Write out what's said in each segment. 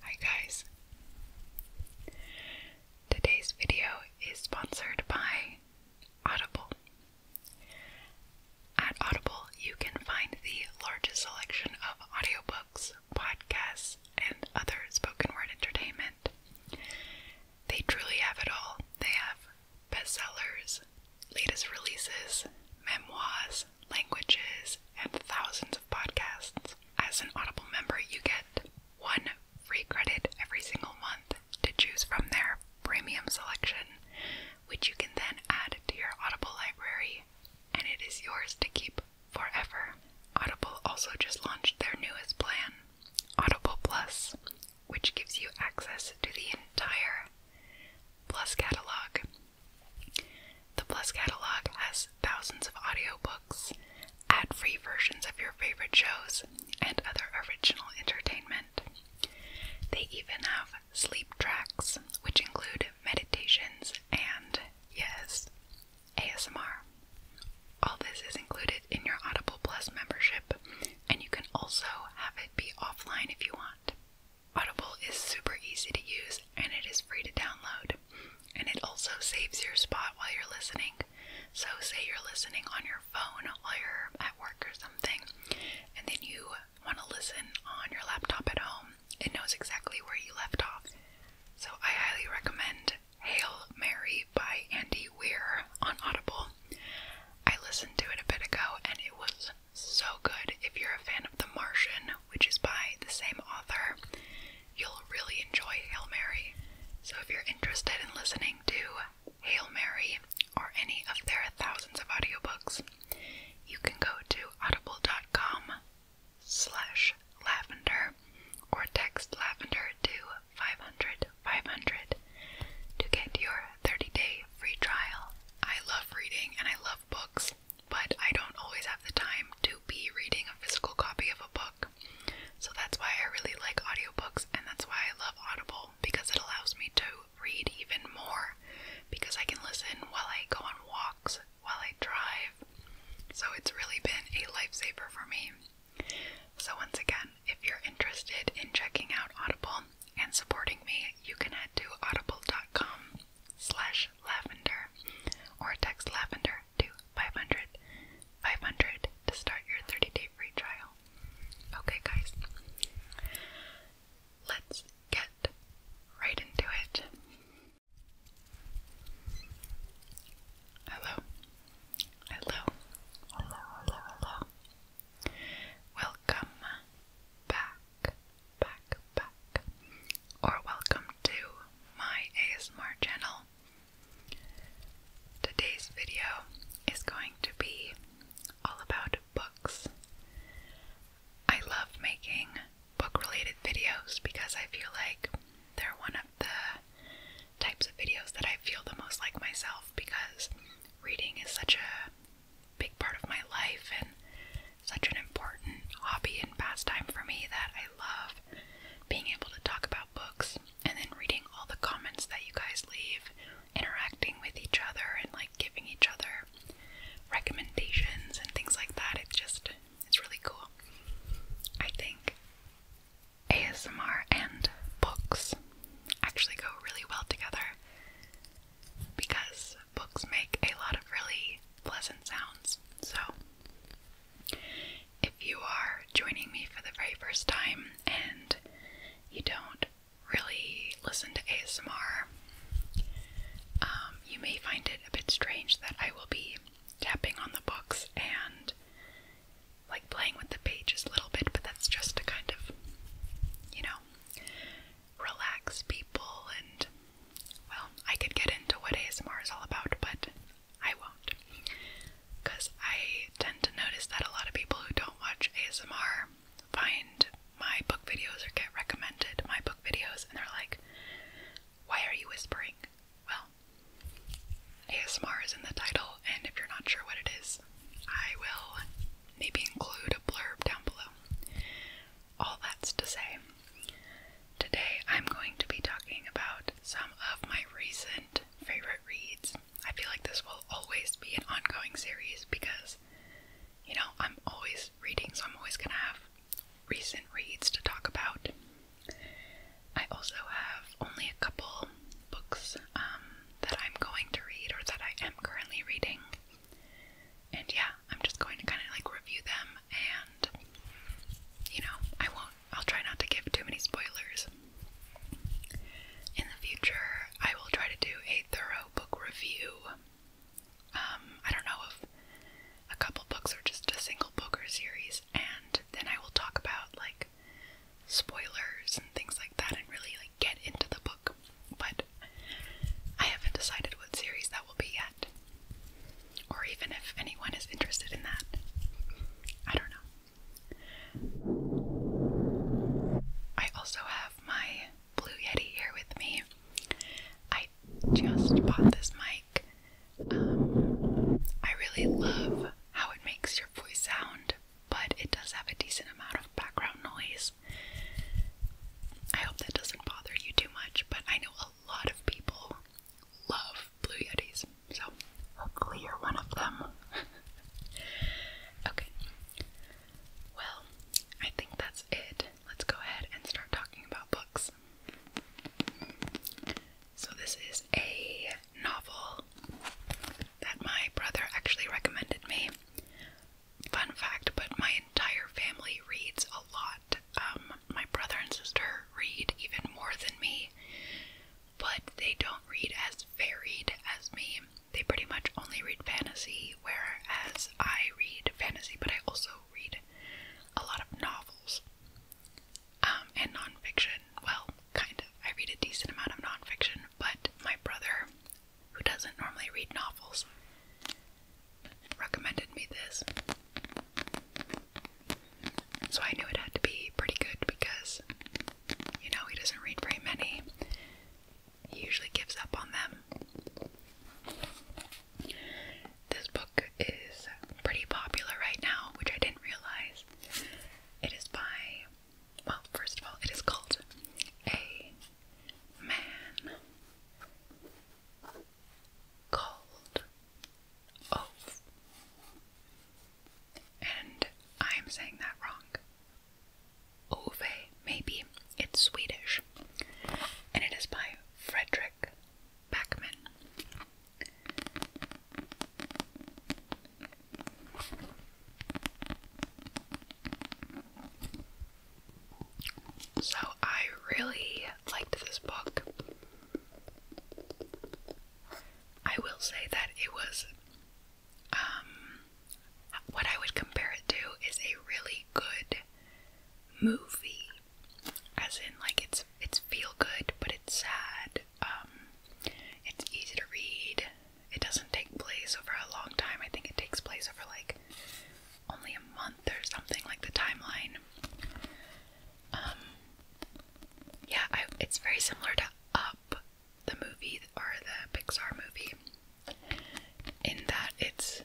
Hi guys. Today's video is sponsored by Audible. At Audible, you can find the largest selection of audiobooks, podcasts, and other spoken word entertainment. They truly have it all. They have bestsellers, latest releases, memoirs, languages, and thousands of podcasts. As an Audible member, you get one free credit every single month to choose from their premium selection, which you can then add to your Audible library, and it is yours to keep forever. Audible also just launched their newest plan, Audible Plus, which gives you access to the entire Plus catalog the Plus catalog has thousands of audiobooks, ad free versions of your favorite shows, and other original entertainment. They even have sleep tracks, which include meditations and, yes, ASMR. All this is included in your Audible Plus membership, and you can also have it be offline if you want. Audible is super easy to use and it is free to download. And it also saves your spot while you're listening. So, say you're listening on your phone while you're at work or something, and then you want to listen on your laptop at home, it knows exactly where you left off. So, I highly recommend Hail Mary by Andy Weir on Audible. I listened to it a bit ago and it was so good. If you're a fan of The Martian which is by the same author, you'll really enjoy Hail Mary. So if you're interested in listening to Hail Mary or any of their thousands of audiobooks, you can go to audible.com slash lavender or text lavender to 500 500 to get your 30-day free trial. I love reading and I love books, but I don't always have the time to be reading a physical copy of a book. So that's why I really like audiobooks and that's why I love Audible because it allows me to read even more because I can listen while I go on walks, while I drive. So it's really been a lifesaver for me. So once again, if you're interested in checking out Audible and supporting me, you can head to audible.com slash lavender or text lavender to 500 500 to start your 30 day free trial. Okay, guys, let's get right into it. Hello, hello, hello, hello, hello. Welcome back back, back, or welcome to my ASMR channel. Today's video is going to be all about books. I love making book related videos because I feel like they're one of the types of videos that I feel the most like myself because reading is such a big part of my life and such an important hobby and pastime for me that I love being able to talk about books and then reading all the comments that you guys leave, interacting with each other and like giving each other recommendations and things like that. It's just it's really cool. I think ASMR and books actually go really well together because books make a lot of really pleasant sounds. So, if you are joining me for the very first time and you don't really listen to ASMR, um, you may find it a bit strange that I will be tapping on the books and like playing with the pages a little bit, but that's just to kind of, you know, relax people and well, I could get into what ASMR is all about, but I won't. Because I tend to notice that a lot of people who don't watch ASMR find my book videos or get recommended my book videos and they're like, why are you whispering? Well, ASMR is in the title, and if you're not sure what it is, I will maybe include a blurb down below. All that's to say, today I'm going to be talking about some of my recent favorite reads. I feel like this will always be an ongoing series because, you know, I'm always reading, so I'm always going to have recent reads to talk about. I also have only a couple books um, that I'm going to read or that I am currently reading. And yeah, I'm just going to kind of like review them and you know, I won't I'll try not to give too many spoilers. In the future, I will try to do a thorough book review. Um, I don't know if a couple books or just a single book or series, and then I will talk about like spoilers and things like that and really like get into the book. But I haven't decided what series that will be yet. Or even if anyone is interested in that. I don't know. I also have my Blue Yeti here with me. I just bought this mic. Um, I really love how it makes your voice sound, but it does have a decent amount of background noise. I hope that doesn't bother you too much, but I know a lot of people love Blue Yetis, so hopefully you're one of them. okay, well, I think that's it. Let's go ahead and start talking about books. So, this is a novel that my brother actually recommended me fun fact, but my entire family reads a lot. Um, my brother and sister read even more than me, but they don't read as varied as me. They pretty much only read fantasy, whereas I read fantasy, but I also read a lot of novels um, and nonfiction. Well, kind of. I read a decent amount of nonfiction, but my brother, who doesn't normally read novels, recommended me this. So I knew it had to be pretty good because, you know, he doesn't read very many. He usually gives up on them. This book is pretty popular right now, which I didn't realize. It is by, well, first of all, it is called A Man called Oath. And I'm saying that wrong. Ove, maybe. It's Swedish. And it is by Frederick Backman. So I really liked this book. I will say that it was um what I would compare it to is a really good movie. As in like it's it's feel good but it's sad. Um, it's easy to read. It doesn't take place over a long time. I think it takes place over like only a month or something like the timeline. Um, yeah, it's very similar to Up, the movie or the Pixar movie, in that it's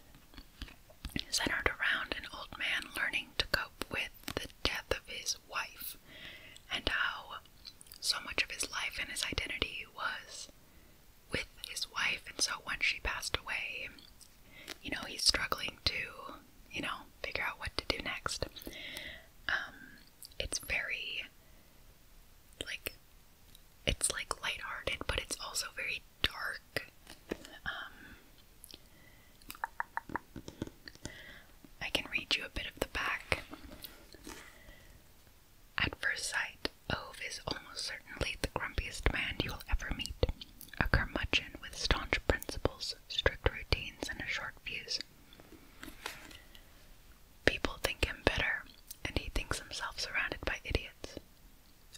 centered around an old man learning to cope with the death of his wife and how so much of his life and his identity was with his wife, and so when she passed away, you know, he's struggling to, you know, figure out what to do next. Um, it's very like it's like lighthearted, but it's also very dark. Um, I can read you a bit of the back. At first sight, Ove is almost certainly the grumpiest man you will ever meet a curmudgeon with staunch principles, strict routines, and a short fuse. People think him bitter, and he thinks himself surrounded by idiots.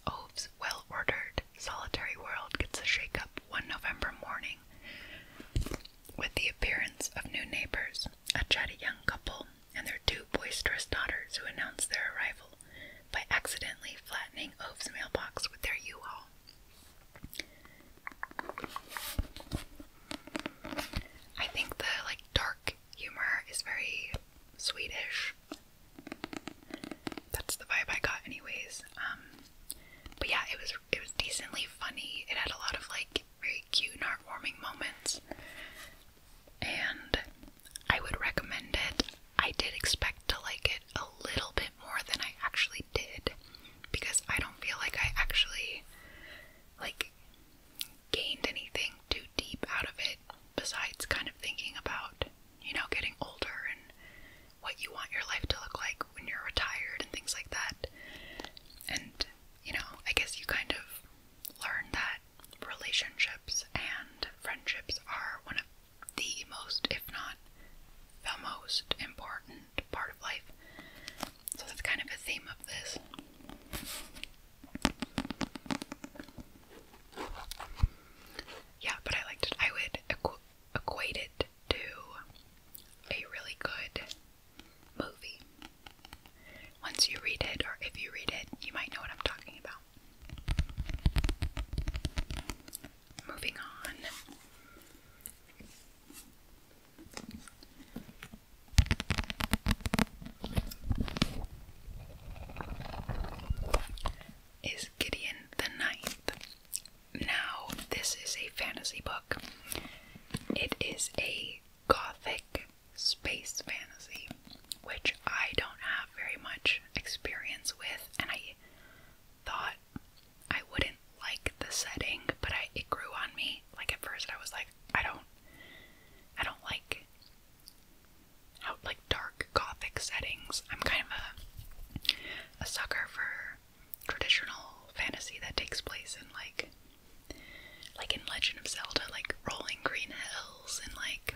Ove's well ordered, solitary world gets a shake up one November morning with the appearance of new neighbors, a chatty young couple, and their two boisterous daughters who announce their arrival by accidentally flattening Ove's mailbox with their U-Haul. I think the like dark humor is very Swedish. That's the vibe I got anyways. Um, but yeah, it was it was decently funny. It had a lot of like very cute heartwarming moments. And I would recommend it. I did expect to like it a little bit more than I actually did because I don't feel like I actually like gained anything too deep out of it besides kind of thinking about, you know, getting older and what you want your life to look like when you're retired and things like that. And, you know, I guess you kind of learn that relationships and friendships are one of the most, if not the most important part of life. So that's kind of a theme of this. Yeah, but I liked I would equate it to a really good movie. Once you read it, or if you read it, you might know what I'm talking about. Moving on. Is Gideon the Ninth? Now, this is a fantasy book. It is a gothic space fantasy which I don't have very much experience with, and I thought I wouldn't like the setting, but I it grew on me. Like at first I was like, I don't I don't like how like dark gothic settings. I'm kind of a a sucker for traditional fantasy that takes place in like like in Legend of Zelda, like rolling green hills and like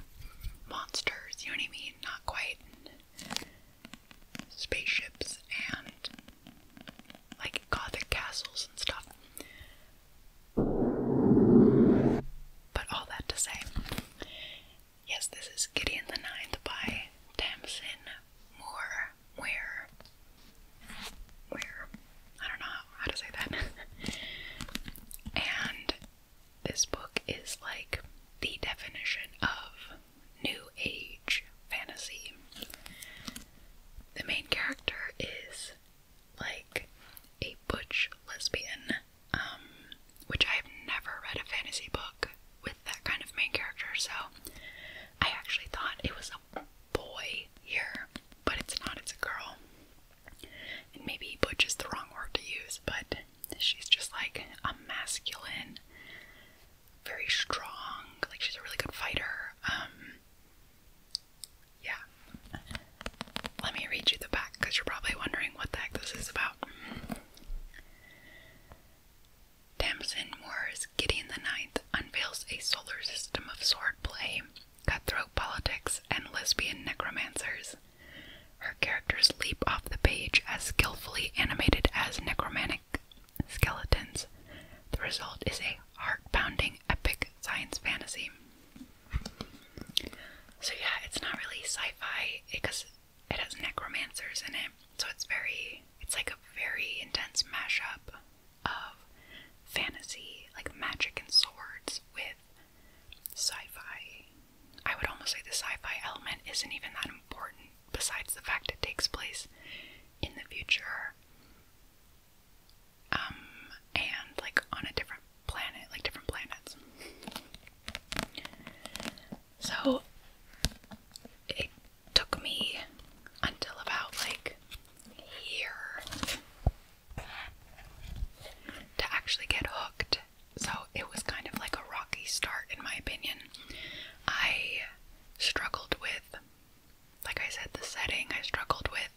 monsters, you know what I mean? maybe not quite spaceships and like gothic castles and stuff. But all that to say, yes, this is Gideon the Ninth by Tamsin Moore. Where? Where? I don't know how to say that. and this book is like the definition of New Age fantasy. The main character is like a butch lesbian, um, which I've never read a fantasy book with that kind of main character, so I actually thought it was a boy here, but it's not, it's a girl. And maybe butch is the wrong word to use, but she's just like a masculine, very strong, like she's a really good fighter. Um, yeah. Let me read you the back because you're probably wondering what the heck this is about. Tamsin Moore's Gideon the Ninth unveils a solar system of swordplay, cutthroat politics, and lesbian necromancers. Her characters leap off the page as skillfully animated as necromantic skeletons. The result is a heart pounding epic science fantasy. So, yeah, it's not really sci fi because it has necromancers in it. So, it's very, it's like a very intense mashup of fantasy, like magic and swords, with sci-fi. I would almost say the sci-fi element isn't even that important besides the fact it takes place in the future. Um and like on a different planet, like different planets. So it took me until about like here to actually get hooked so it was kind of like a rocky start, in my opinion. I struggled with, like I said, the setting. I struggled with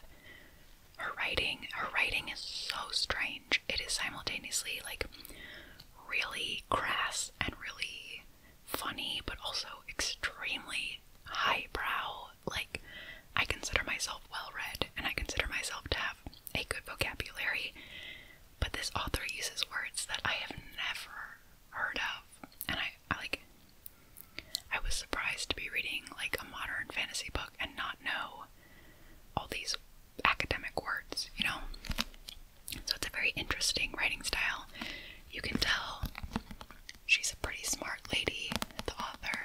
her writing. Her writing is so strange. It is simultaneously like really crass and really funny, but also extremely highbrow. Like, I consider myself well read and I consider myself to have a good vocabulary, but this author uses words that I have never heard of, and I, like. I was surprised to be reading like a modern fantasy book and not know all these academic words, you know. So it's a very interesting writing style. You can tell she's a pretty smart lady, the author.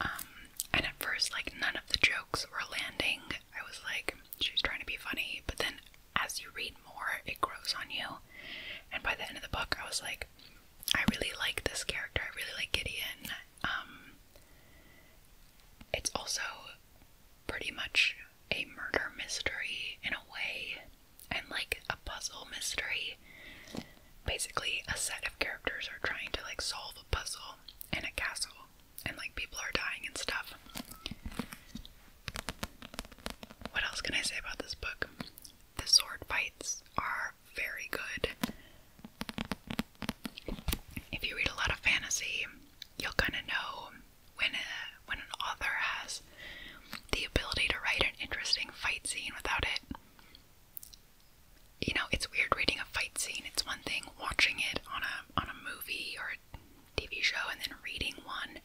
Um, and at first, like, none of the jokes were landing. I was like, she's trying to be funny, but then as you read more, it grows on you. And by the end of the book, I was like, I really like this character, I really like Gideon. Um, it's also pretty much a murder mystery in a way, and like a puzzle mystery. Basically, a set of characters are trying to like solve a puzzle in a castle, and like people are dying and stuff. What else can I say about this book? The sword fights are very good. If you read a lot of fantasy, you'll kind of know when a, uh, when an author has the ability to write an interesting fight scene without it you know it's weird reading a fight scene it's one thing watching it on a on a movie or tv show and then reading one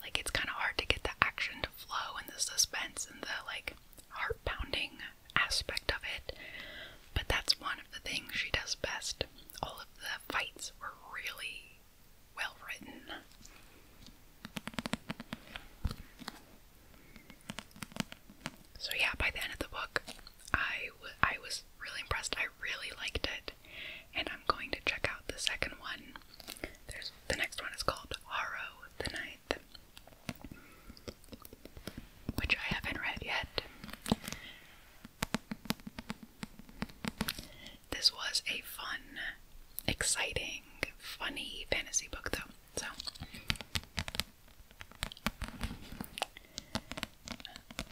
like it's kind of hard to get the action to flow and the suspense and the like heart pounding aspect of it but that's one of the things she does best all of the fights were really well written. So yeah, by the end of the book, I, I was really impressed. I really liked it, and I'm going to check out the second one. the next one is called Haro the Ninth, which I haven't read yet. This was a fun, exciting, funny fantasy book, though. So,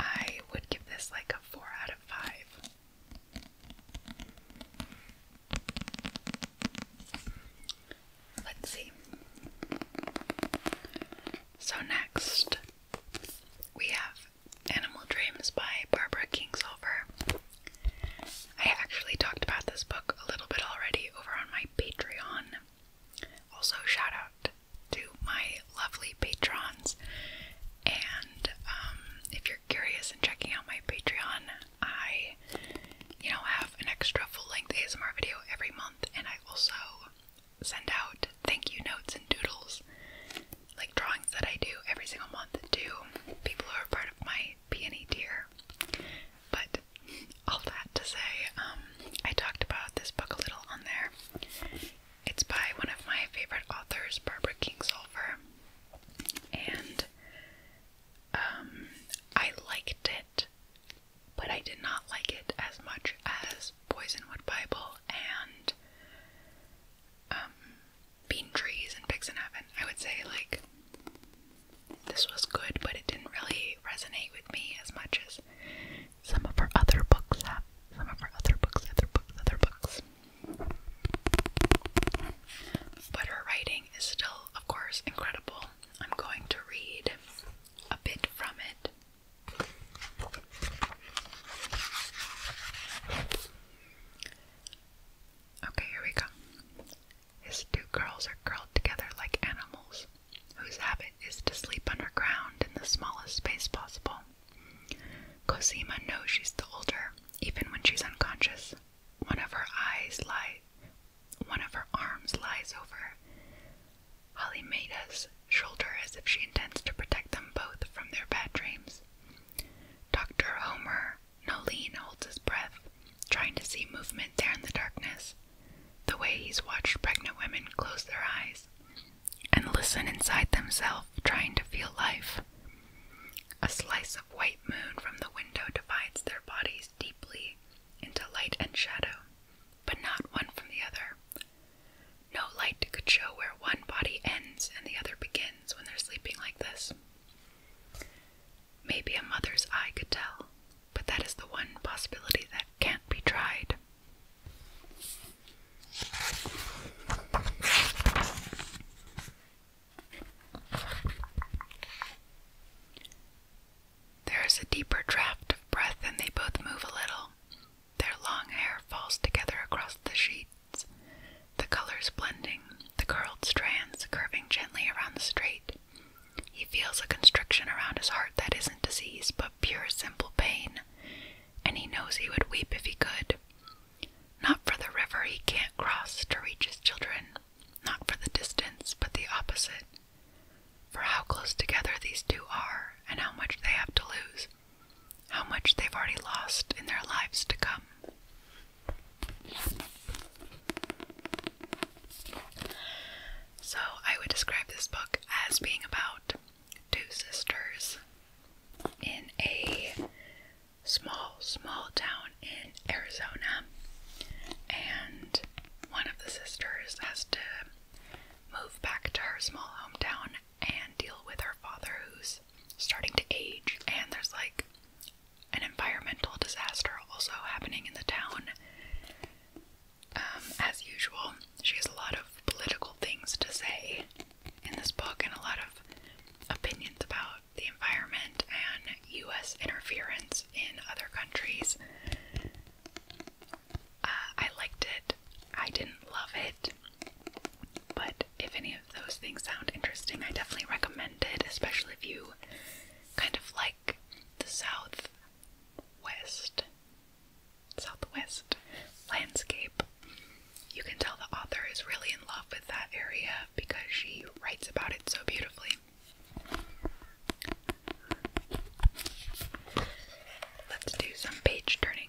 I would give this like a 4 out of 5. Let's see. So, next we have Animal Dreams by Barbara Kingsolver. I actually talked about this book a little bit already over on my Patreon. Also, shout out to my lovely patrons. And um, if you're curious and checking out my Patreon, I, you know, have an extra full-length ASMR video every month, and I also send out thank you notes and doodles like drawings that I do every single month to people who are part of my peony tier. But all that to say, um, I talked about this book a little on there. It's by one of my favorite authors, Barbara Kingsolver, and um, I liked it, but I did not like it as much as Poisonwood Bible and um, bean trees and Picks in Heaven. I would say, like, this was good, but it didn't really resonate with me as much as some of her other books have. Some of her other books, other books, other books. But her writing is still, of course, incredible. I'm going to read a bit from it. Okay, here we go. His two girls are curled together like animals, whose habit is to sleep underground in the smallest space possible. Cosima knows she's the older, even when she's unconscious. One of her eyes lie, one of her arms lies over Maida's shoulder as if she intends to protect them both from their bad dreams. Dr. Homer Nolene holds his breath, trying to see movement there in the darkness, the way he's watched pregnant women close their eyes and listen inside themselves, trying to feel life. A slice of white moon from the window divides their bodies deeply into light and shadow, but not one from the other. No light could show where one body ends and the other begins when they're sleeping like this. Maybe a mother's eye could tell, but that is the one possibility that can't be tried. There is a deeper draft of breath, and they both move a little. Their long hair falls together across the sheet the colors blending, the curled strands curving gently around the straight. He feels a constriction around his heart that isn't disease, but pure, simple pain, and he knows he would weep if he could. Not for the river he can't cross to reach his children, not for the distance, but the opposite. For how close together these two are, and how much they have to lose, how much they've already lost in their lives to come. So, I would describe this book as being about two sisters in a small, small town in Arizona, and one of the sisters has to move back to her small hometown and deal with her father who's starting to age and there's like an environmental disaster also happening in the town um, as usual she has a lot of political things to say in this book and a lot of opinions about the environment and u.s interference in other countries uh, i liked it i didn't love it but if any of those things sound interesting, I definitely recommend it, especially if you kind of like the southwest, southwest landscape. You can tell the author is really in love with that area because she writes about it so beautifully. Let's do some page turning.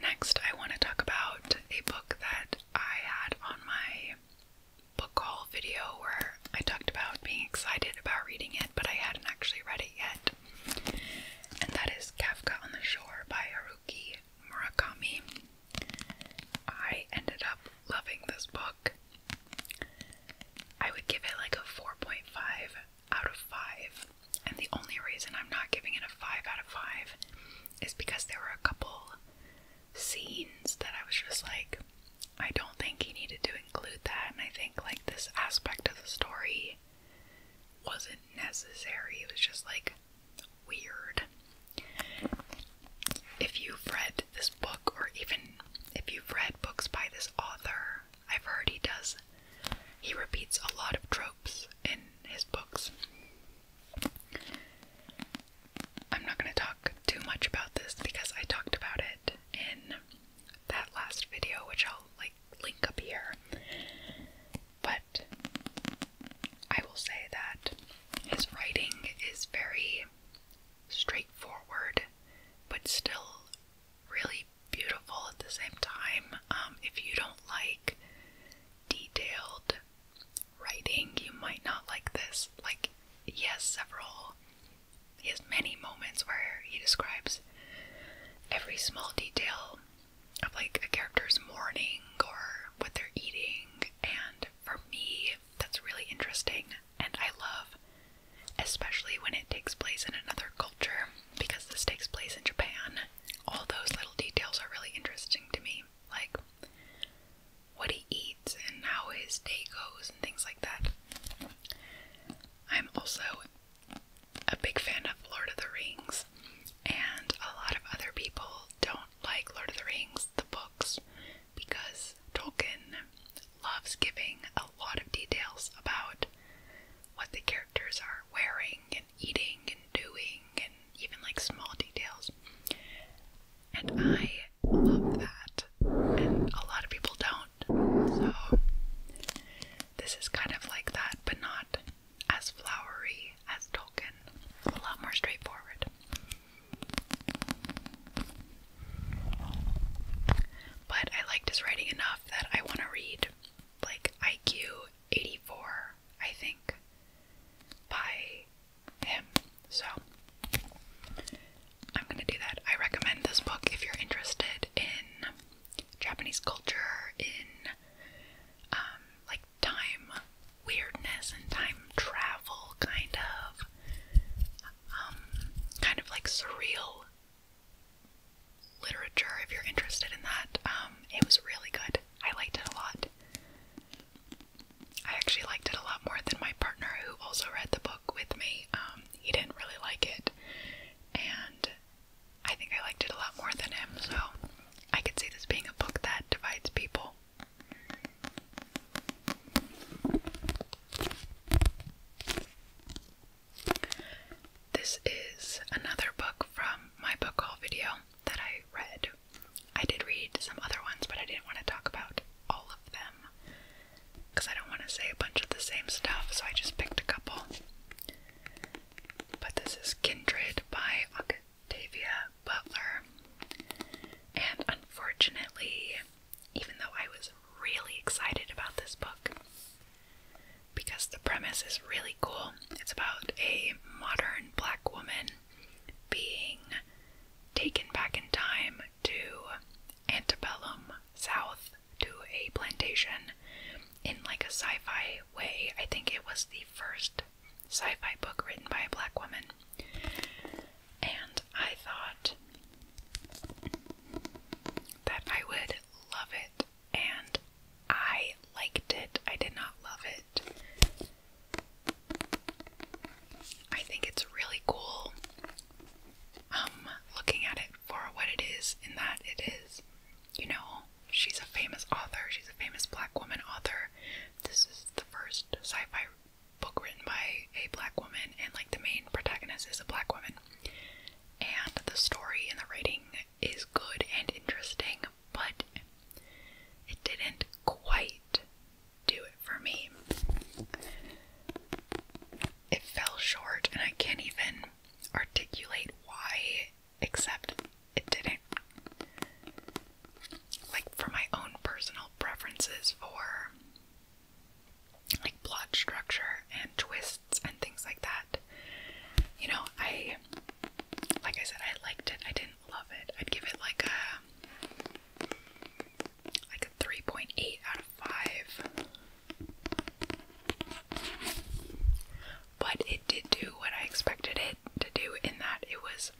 Next, I want to talk about a book that I had on my book haul video where I talked about being excited about reading it, but I hadn't actually read it yet. And that is Kafka on the Shore by Haruki Murakami. I ended up loving this book. I would give it like a 4.5 out of 5. And the only reason I'm not giving it a 5 out of 5 is because there were a couple scenes that I was just like, I don't think he needed to include that. And I think, like, this aspect of the story wasn't necessary. It was just, like, weird. If you've read this book, or even if you've read books by this author, I've heard he does. He repeats a lot of tropes in his books. I'm not going to talk too much about this because I talked about it in that last video, which I'll like link up here. But I will say that his writing is very straightforward, but still really beautiful at the same time. Um, if you don't like detailed writing, you might not like this. Like, he has several, he has many moments where he describes every small detail of like a character's morning or what they're eating, and for me, that's really interesting. And I love especially when it takes place in another culture, because this takes place in Japan. All those little details are really interesting to me, like what he eats and how his day goes and things like that. I'm also a big fan of Lord of the Rings, and a lot of other people don't like Lord of the Rings, the books, because Tolkien loves giving a lot of details about what the characters are wearing and eating and doing and even like small details. And I love that. And a lot of people don't. So this is kind of like that, but not as flowery as Tolkien. A lot more straightforward. But I liked his writing enough that I want to read like IQ 84, I think, by him. So I'm gonna do that. I recommend this book if you're interested in Japanese culture, in um, like time weirdness and time travel, kind of, um, kind of like surreal literature if you're interested in that. Um, it was really good. I liked it a lot. I actually liked it a lot more than my partner, who also read the book with me. Um, he didn't really like it, and I think I liked it a lot more than him, so I could see this being a book that divides people. This is another book from my book haul video that I read. I did read some other ones, but I didn't want to talk about all of them because I don't want to say a bunch of the same stuff, so I just picked a couple. But this is Kindred by Octavia Butler, and unfortunately, even though I was really excited about this book because the premise is really cool. It's about a modern black woman being taken back in time to antebellum south to a plantation in like a sci-fi way. I think it was the first sci-fi book written by a black woman. And I thought that I would love it and I liked it. I did not love it. I think it's really cool um looking at it for what it is in that it is you know she's a famous author she's a famous black woman author this is the first sci-fi book written by a black woman and like the main protagonist is a black woman and the story and the writing is good and interesting, but it didn't quite do it for me. It fell short, and I can't even articulate why, except it didn't. Like, for my own personal preferences for like plot structure and twists and things like that. You know, I like I said, I liked it. I didn't love it. I'd give it like a like a three point eight out of five. But it did do what I expected it to do in that it was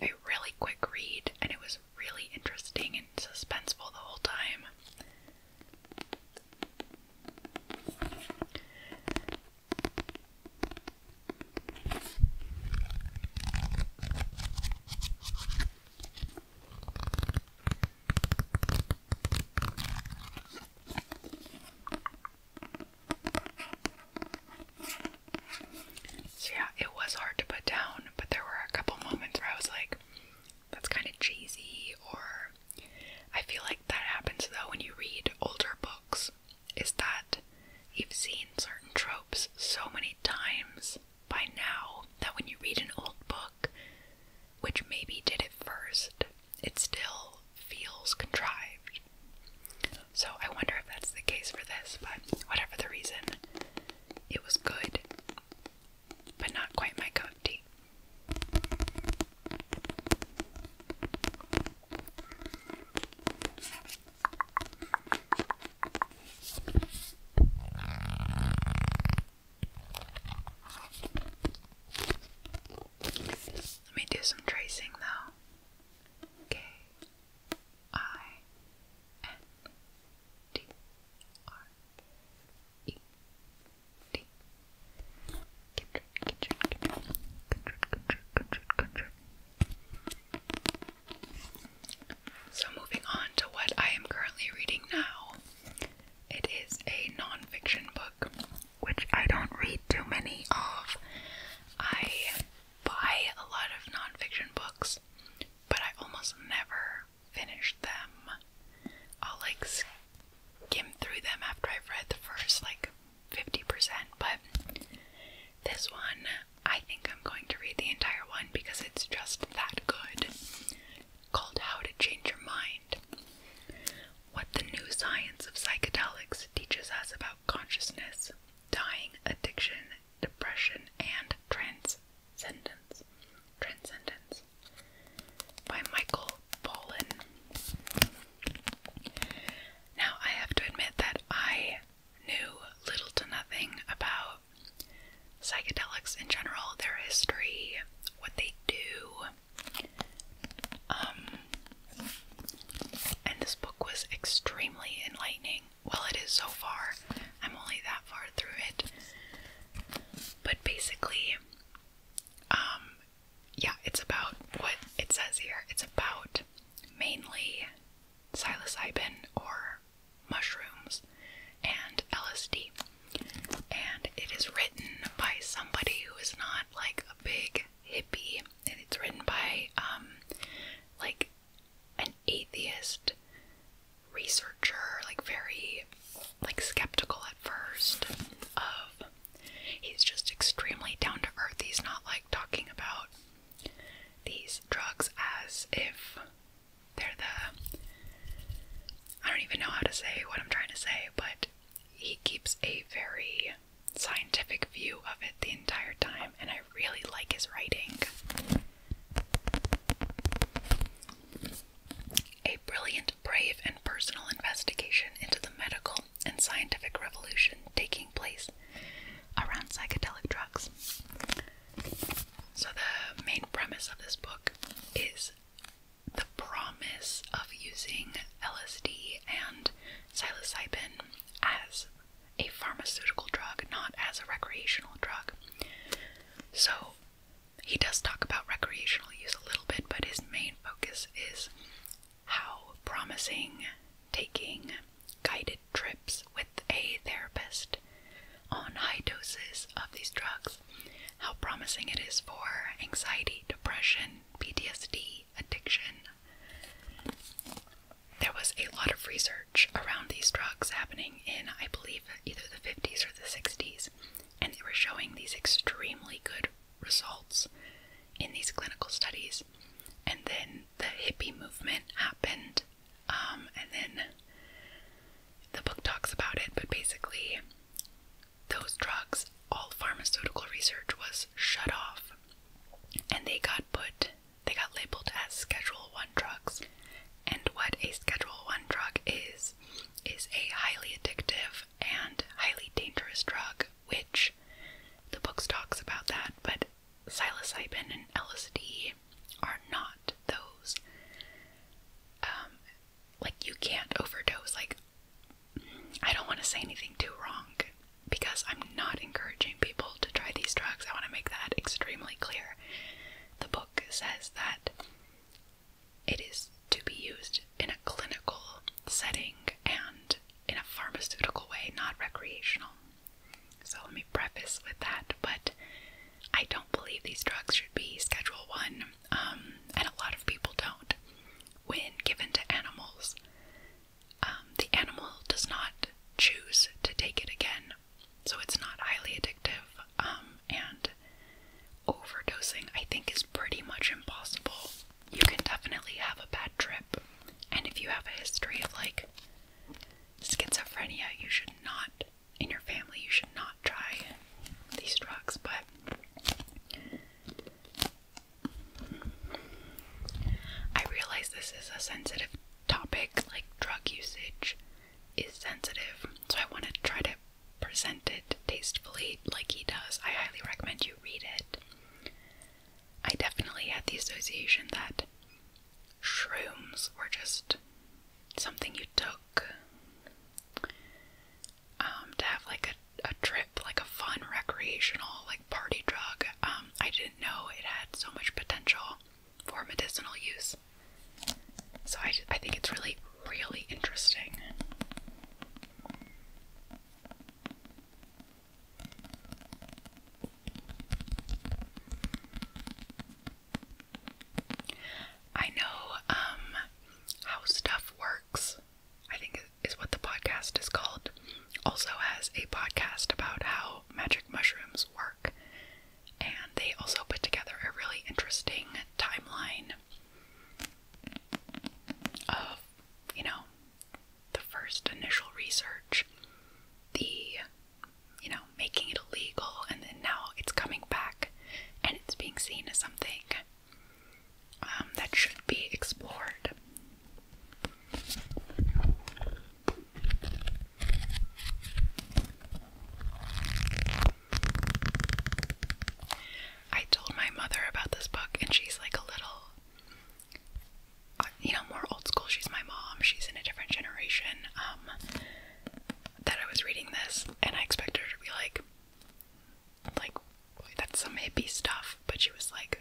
a really quick read and it was really interesting and suspenseful the whole time. So, yeah, it was hard to put down, but there were a couple moments where I was like, that's kind of cheesy, or I feel like that happens though when you read older books, is that you've seen certain tropes so many times by now that when you read an old book, which maybe did it first, it still feels contrived. So I wonder if that's the case for this, but whatever the reason, it was good but not quite my cup tea. Let me do some tracing though. K I N D R E so moving on to what I am currently reading now. It is a non-fiction book, which I don't read too many of. I buy a lot of non-fiction books, but I almost never finish them. I'll like skim through them after I've read the first like 50%, but this one, I think I'm going to read the entire one because it's just that good. Called How to Change Your Mind. What the new science of psychedelics teaches us about consciousness, dying, addiction, depression, and transcendence. Transcendence by Michael Pollan. Now, I have to admit that I knew little to nothing about psychedelics in general, their history, what they do. Um, and this book was extremely enlightening. Well, it is so far. I'm only that far through it. But basically, um, yeah, it's about what it says here. It's about mainly psilocybin or mushrooms and LSD. And it is written by somebody who is not like a big hippie. And it's written by um like an atheist researcher, like very like skeptical at first of he's just extremely down to earth. He's not like talking about these drugs as if they're the I don't even know how to say what I'm trying to say, but he keeps a very scientific view of it the entire time, and I really like his writing. A brilliant, brave, and personal investigation into the medical and scientific revolution taking place around psychedelic drugs. So, the main premise of this book is the promise of using LSD and psilocybin as a pharmaceutical drug, not as a recreational drug. So, he does talk about recreational use a little bit, but his main focus is how promising taking guided trips with a therapist on high doses of these drugs, how promising it is for anxiety, depression, PTSD, addiction. There was a lot of research around these drugs happening in, I believe, either the 50s or the 60s and they were showing these extremely good results in these clinical studies. And then the hippie movement happened, um, and then the book talks about it, but basically, those drugs, all pharmaceutical research was shut off, and they got put, they got labeled as Schedule 1 drugs. And what a Schedule 1 drug is, is a highly addictive and highly dangerous drug, which the book talks about that, but psilocybin and LSD are not those. Um, like you can't overdose. Like I don't want to say anything too wrong because I'm not encouraging people to try these drugs. I want to make that extremely clear. The book says that it is to be used in a clinical setting and in a pharmaceutical way, not recreational. So let me preface with that, but I don't believe these drugs should be Schedule 1, um, and a lot of people don't. When given to animals, um, the animal does not choose to take it again, so it's not highly addictive, um, and overdosing, I think, is pretty much impossible. You can definitely have a bad trip, and if you have a history of like schizophrenia, you should not, in your family, you should not try these drugs. But I realize this is a sensitive topic, like drug usage is sensitive, so I want to try to presented tastefully like he does, I highly recommend you read it. I definitely had the association that shrooms were just something you took um, to have like a, a trip, like a fun recreational, like party drug. Um, I didn't know it had so much potential for medicinal use. So I, I think it's really, really interesting. I know um, how stuff works. I think is what the podcast is called. Also has a podcast about how magic mushrooms work, and they also put together a really interesting timeline of, you know, the first initial research, the, you know, making it illegal, and then now it's coming back and it's being seen as something um, that should be explored. I told my mother about this book, and she's like a little, uh, you know, more old school. She's my mom, she's in a different generation. Um, that I was reading this, and I expected her to be like, like, that's some hippie stuff, but she was like,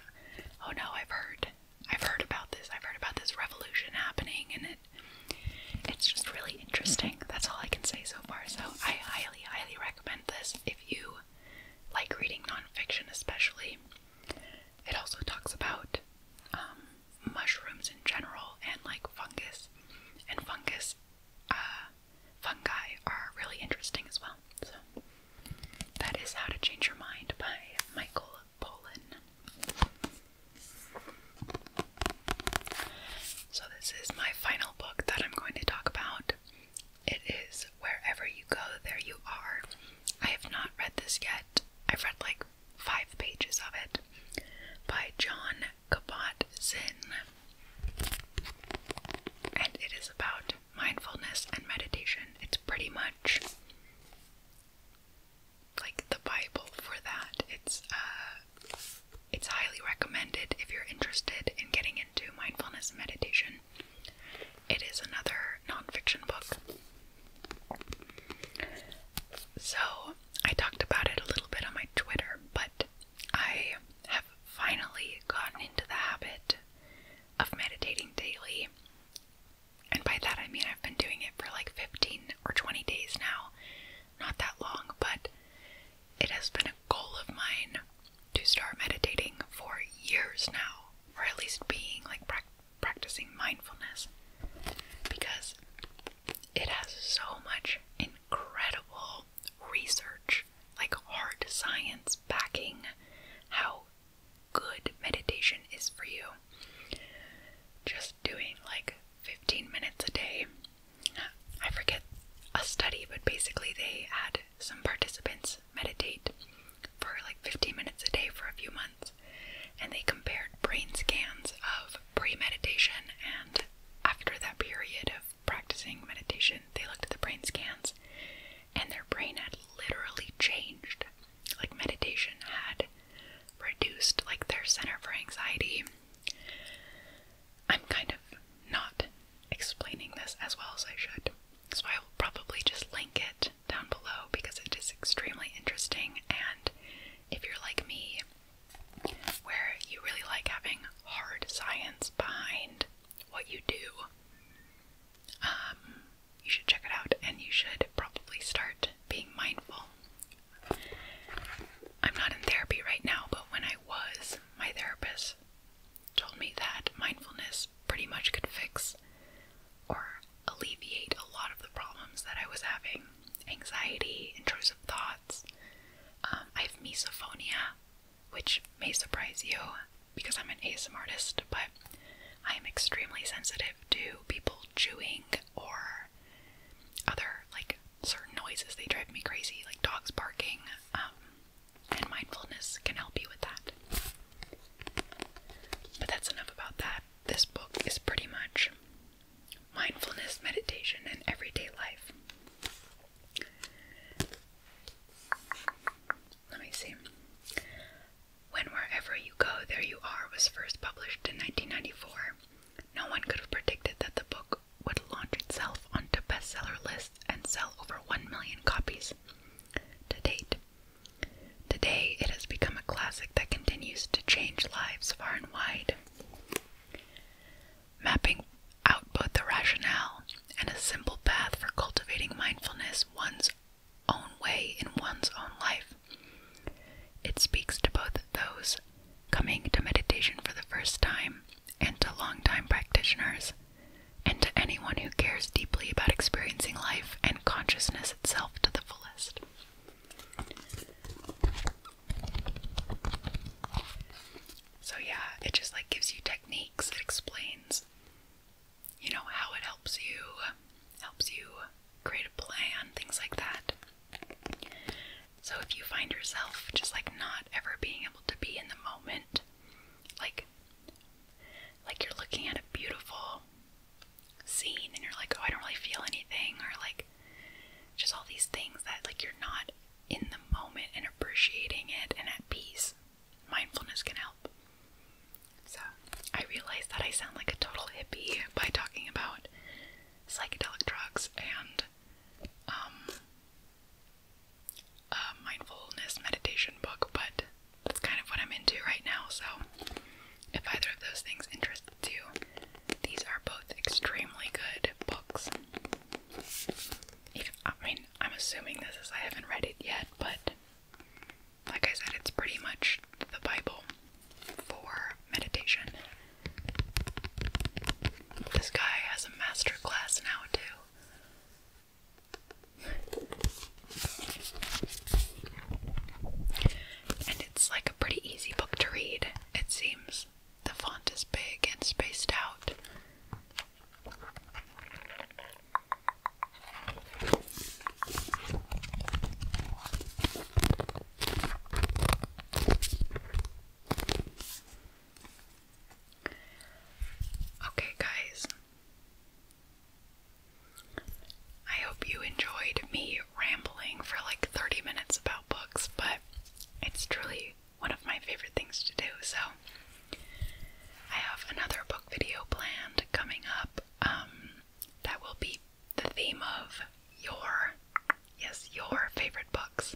oh no, I've heard. I've heard about this. I've heard about this revolution happening and it it's just really interesting. That's all I can say so far. So I, highly highly, recommend this if you like reading nonfiction, especially. It also talks about um, mushrooms in general and like fungus, and fungus, uh, fungi are really interesting as well. So, that is How to Change Your Mind by Michael Pollan. So, this is my final book that I'm going to talk about. It is Wherever You Go, There You Are. I have not read this yet. I've read like five pages of it by John Kabat Zinn. And it is about mindfulness and meditation. It's pretty much like the Bible for that. It's uh, it's highly recommended if you're interested in getting into mindfulness and meditation. It is another nonfiction book. So, I talked about it a little bit on my Twitter, but I have finally gotten into the habit of meditating daily. And by that I mean I've been doing it for like 15 or 20 days now not that long, but it has been a goal of mine to start meditating for years now, or at least being like practicing mindfulness because it has so much incredible research, like hard science backing how good meditation is for you. Just doing like 15 minutes a day. I forget a study, but basically they had some participants meditate for like 15 minutes a day for a few months and they compared brain scans of pre meditation and after that period of practicing meditation. They looked at the brain scans and their brain had literally changed. Like, meditation had reduced like their center for anxiety I'm kind of not explaining this as well as I should, so I will probably just link it down below because it is extremely interesting. And if you're like me, where you really like having hard science behind what you do, um, you should check it out and you should probably start being mindful I'm not in therapy right now, but when I was, my therapist told me that mindfulness pretty much could fix or alleviate a lot of the problems that I was having anxiety, intrusive thoughts. Um, I have misophonia, which may surprise you because I'm an ASM artist, but I am extremely sensitive to people chewing or other like certain noises, they drive me crazy, like dogs barking, um, and mindfulness can help you with that. But that's enough about that. This book is pretty much mindfulness, meditation, and everyday life. Let me see. When Wherever You Go, There You Are was first published in 1994. No one could have predicted that the book would launch itself onto bestseller lists and sell over 1 million copies to date. Today, it has become a classic that continues to change lives far and wide. Mapping out both the rationale and a simple path for cultivating mindfulness one's own way in one's own life. It speaks to both those coming to meditation for the first time, and to long-time practitioners, and to anyone who cares deeply about experiencing life and consciousness itself to the fullest. So, yeah, it just like gives you techniques, it explains, you know, how it helps you, helps you create a plan, things like that. So if you find yourself just like not ever being able to be in the moment, like like you're looking at a beautiful scene and you're like, "Oh, I don't really feel anything," or like just all these things that like you're not in the moment and appreciating it and at peace. Mindfulness can help. So, I realize that I sound like a total hippie by talking about psychedelic drugs and um, a mindfulness meditation book, but that's kind of what I'm into right now. So, if either of those things interest you, these are both extremely good books. I mean, I'm assuming this is, I haven't read it yet, but like I said, it's pretty much the Bible for meditation. This guy has a master class now, too. And it's like a pretty easy book to read, it seems. The font is big and spaced out. Okay, guys. I hope you enjoyed me rambling for like 30 minutes about books, but it's truly one of my favorite things to do. So, I have another book video planned coming up um, that will be the theme of your yes, your favorite books.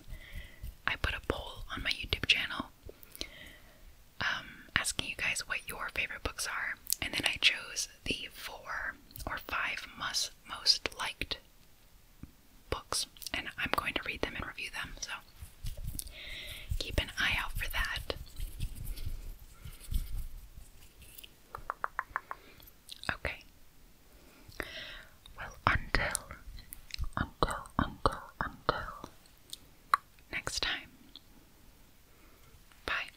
I put a poll on my YouTube channel um, asking you guys what your favorite books are, and then I chose the four or five must, most liked books, and I'm going to read them and review them, so keep an eye out for that. Okay. Well, until, until, until, until next time. Bye.